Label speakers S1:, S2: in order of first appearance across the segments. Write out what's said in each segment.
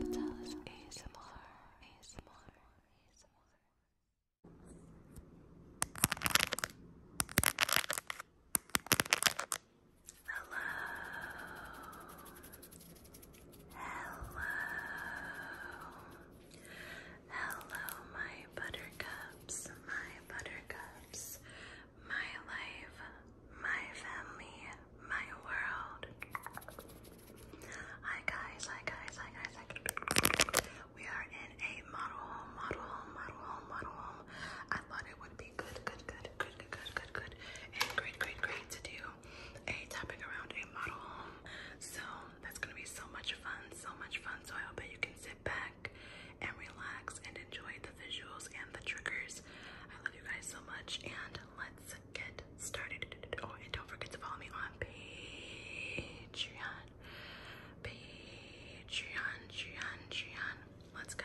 S1: Patalis ASMR ASMR ASMR Hello Hello Hello my buttercups my buttercups my life, my family, my world. Hi guys, hi guys, hi guys, hi guys. We are in a model home, model home, model home, model home. I thought it would be good, good, good, good, good, good, good, good, and great, great, great to do a topic around a model home. So that's gonna be so much fun, so much fun. So I hope that you can sit back and relax and enjoy the visuals and the triggers. I love you guys so much, and let's get started. Oh, and don't forget to follow me on Patreon. Patreon, Patreon, Patreon. Let's go.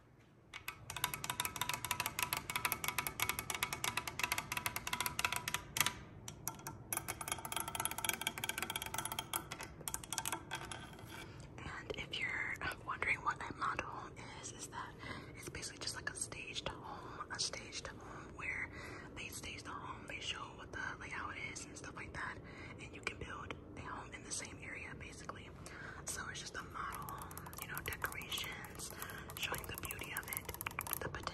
S1: And if you're wondering what a model is, is that it's basically just like a staged home, a staged home where they stage the home, they show what the how it is and stuff like that, and you can build a home in the same area basically. So it's just a model you know, decorations, showing the beauty of it, the potential.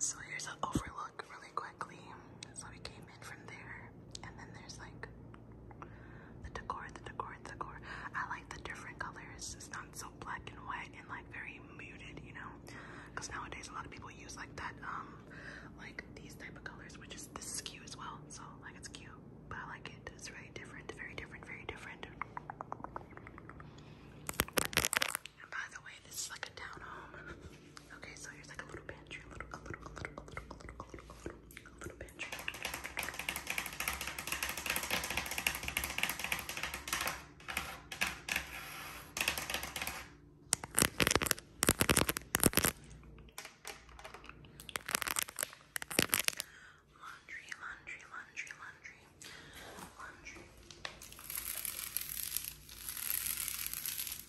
S1: So here's an overlook really quickly. So we came in from there, and then there's like the decor, the decor, the decor. I like the different colors. It's not so black and white and like very muted, you know? Because nowadays a lot of people use like that, um, like these type of colors, which is this is cute as well. So like it's cute, but I like it. It's very different, very different, very different. And by the way, this is like a town home. okay, so here's like a little pantry, a little, a little, a little, a little, a little, a little, a little, a little Laundry, laundry, laundry, laundry, laundry.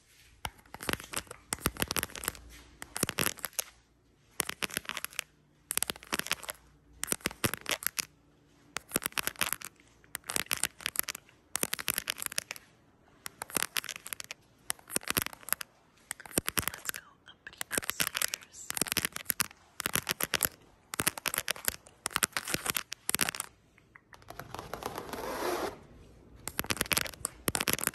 S1: Let's go up upstairs.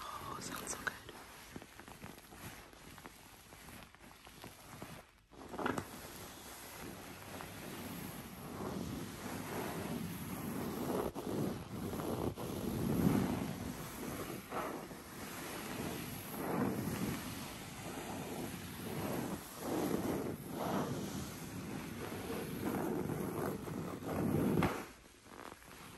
S1: Oh, sounds so good.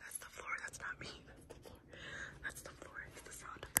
S1: That's the floor, that's not me. That's the floor. It's the sound of the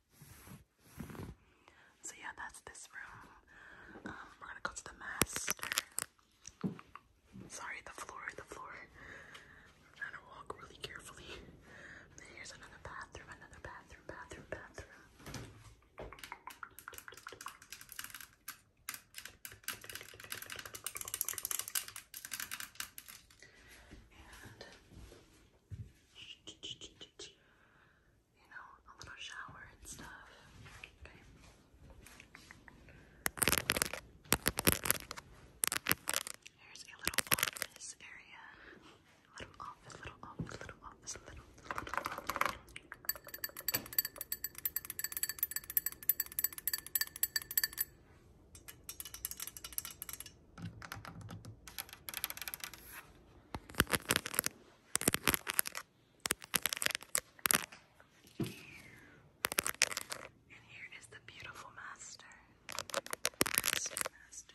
S1: So yeah, that's this room. Um, we're gonna go to the master. Sorry, the floor, the floor. i to walk really carefully. here's another bathroom, another bathroom, bathroom, bathroom you know, a little shower and stuff. Okay. There's a little office area. Little office, little office, little office, little, and here is the beautiful master. Master, master.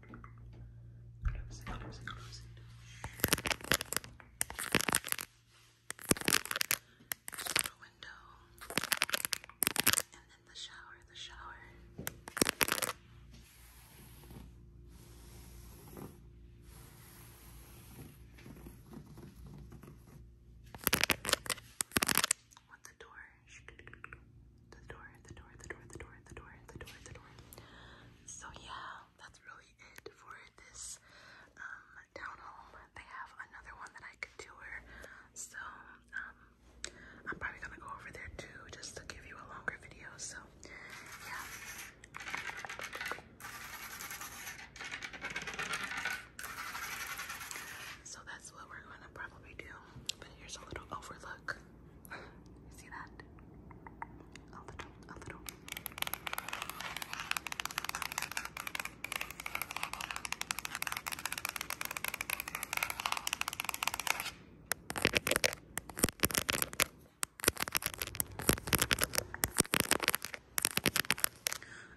S1: Close it, close it, close it. Just the window. And then the shower, the shower. The door, the door, the door, the door, the door, the door, the door, so yeah, that's really it for this um, town home. They have another one that I could tour. So um, I'm probably gonna go over there too, just to give you a longer video. So yeah. So that's what we're gonna probably do. But here's a little overlook. You see that? A little, a little.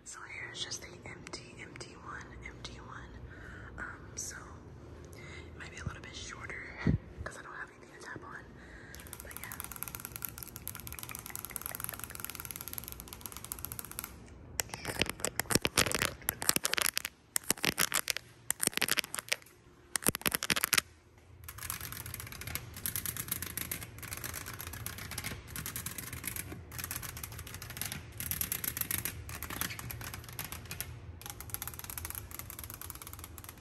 S1: So here's just the empty, empty one, empty one. Um, so it might be a little bit shorter because I don't have need to tap on. But yeah.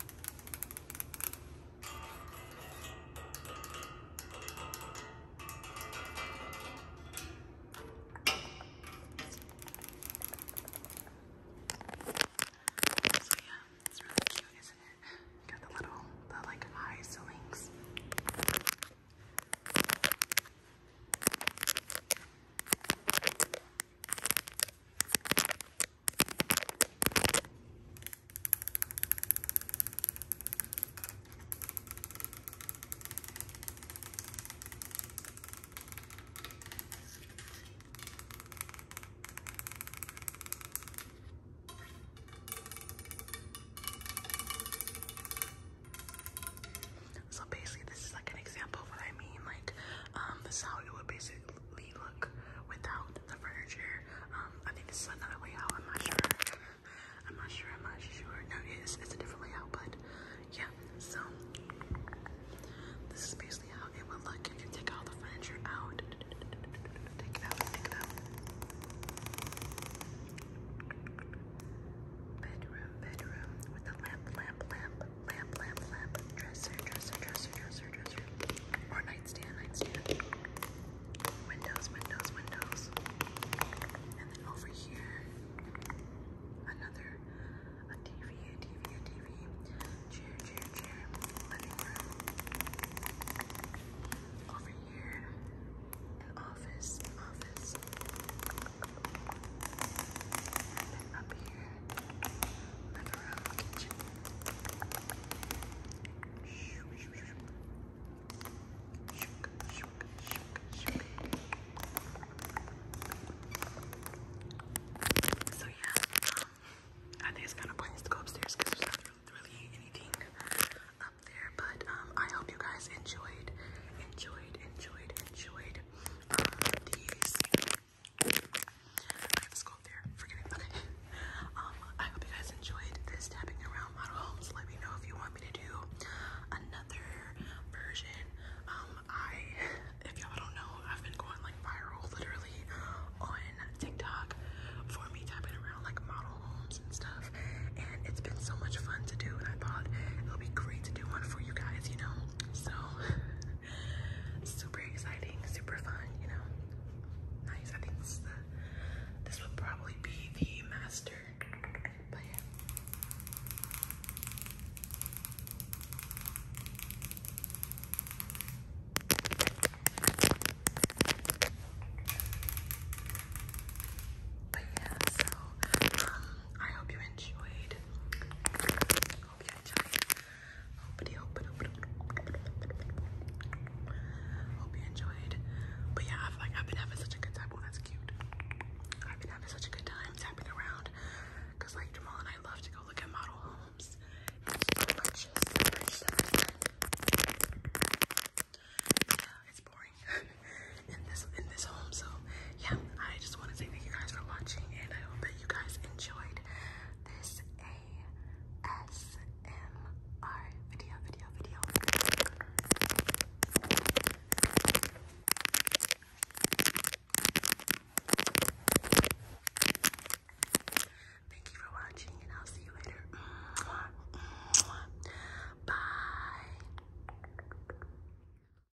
S1: So yeah, it's really cute, isn't it? You got the little, the like eye links. So basically this is like an example of what I mean like this is how it would basically look without the furniture. Um, I think this is another layout. I'm not sure. I'm not sure. I'm not sure. No, it is. It's a different layout, but yeah. So this is basically how it would look if you take all the furniture out. Take it out. Take it out. Bedroom, bedroom with the lamp, lamp, lamp lamp, lamp, lamp, dresser, dresser, dresser, dresser, dresser, or nightstand, nightstand, windows, windows, windows, and then over here, another, a TV, a TV, a TV, chair, chair, chair, living room, over here, an office, office. And up here, living room, kitchen. Shook, shook, shook, shook. So yeah, um, I think it's kind of pointless to go upstairs because there's not really anything up there. But um, I hope you guys enjoyed, enjoyed, enjoyed, enjoyed um, these um, I hope you guys enjoyed this tapping around model homes. Let me know if you want me to do another version. Um, I, if y'all don't know, I've been going like viral literally on TikTok for me tapping around like model homes and stuff. And it's been so much fun to do, and I thought it would be great to do one for you guys, you know? So. super exciting, super fun, you know. Nice. I think this is probably be the master. But yeah. But yeah, so um, I hope you enjoyed hope you enjoyed. Hope you hope, hope, hope you enjoyed. But yeah, I've like I've been having such a good time. Oh, that's cute. I've been having such a good time tapping around. Cause like Jamal and I love to go look at model homes. Yeah, it's boring in this in this home, so yeah, I just want to say thank you guys for watching, and I hope that you guys enjoyed this ASMR video, video, video. Thank you for watching, and I'll see you later. Bye.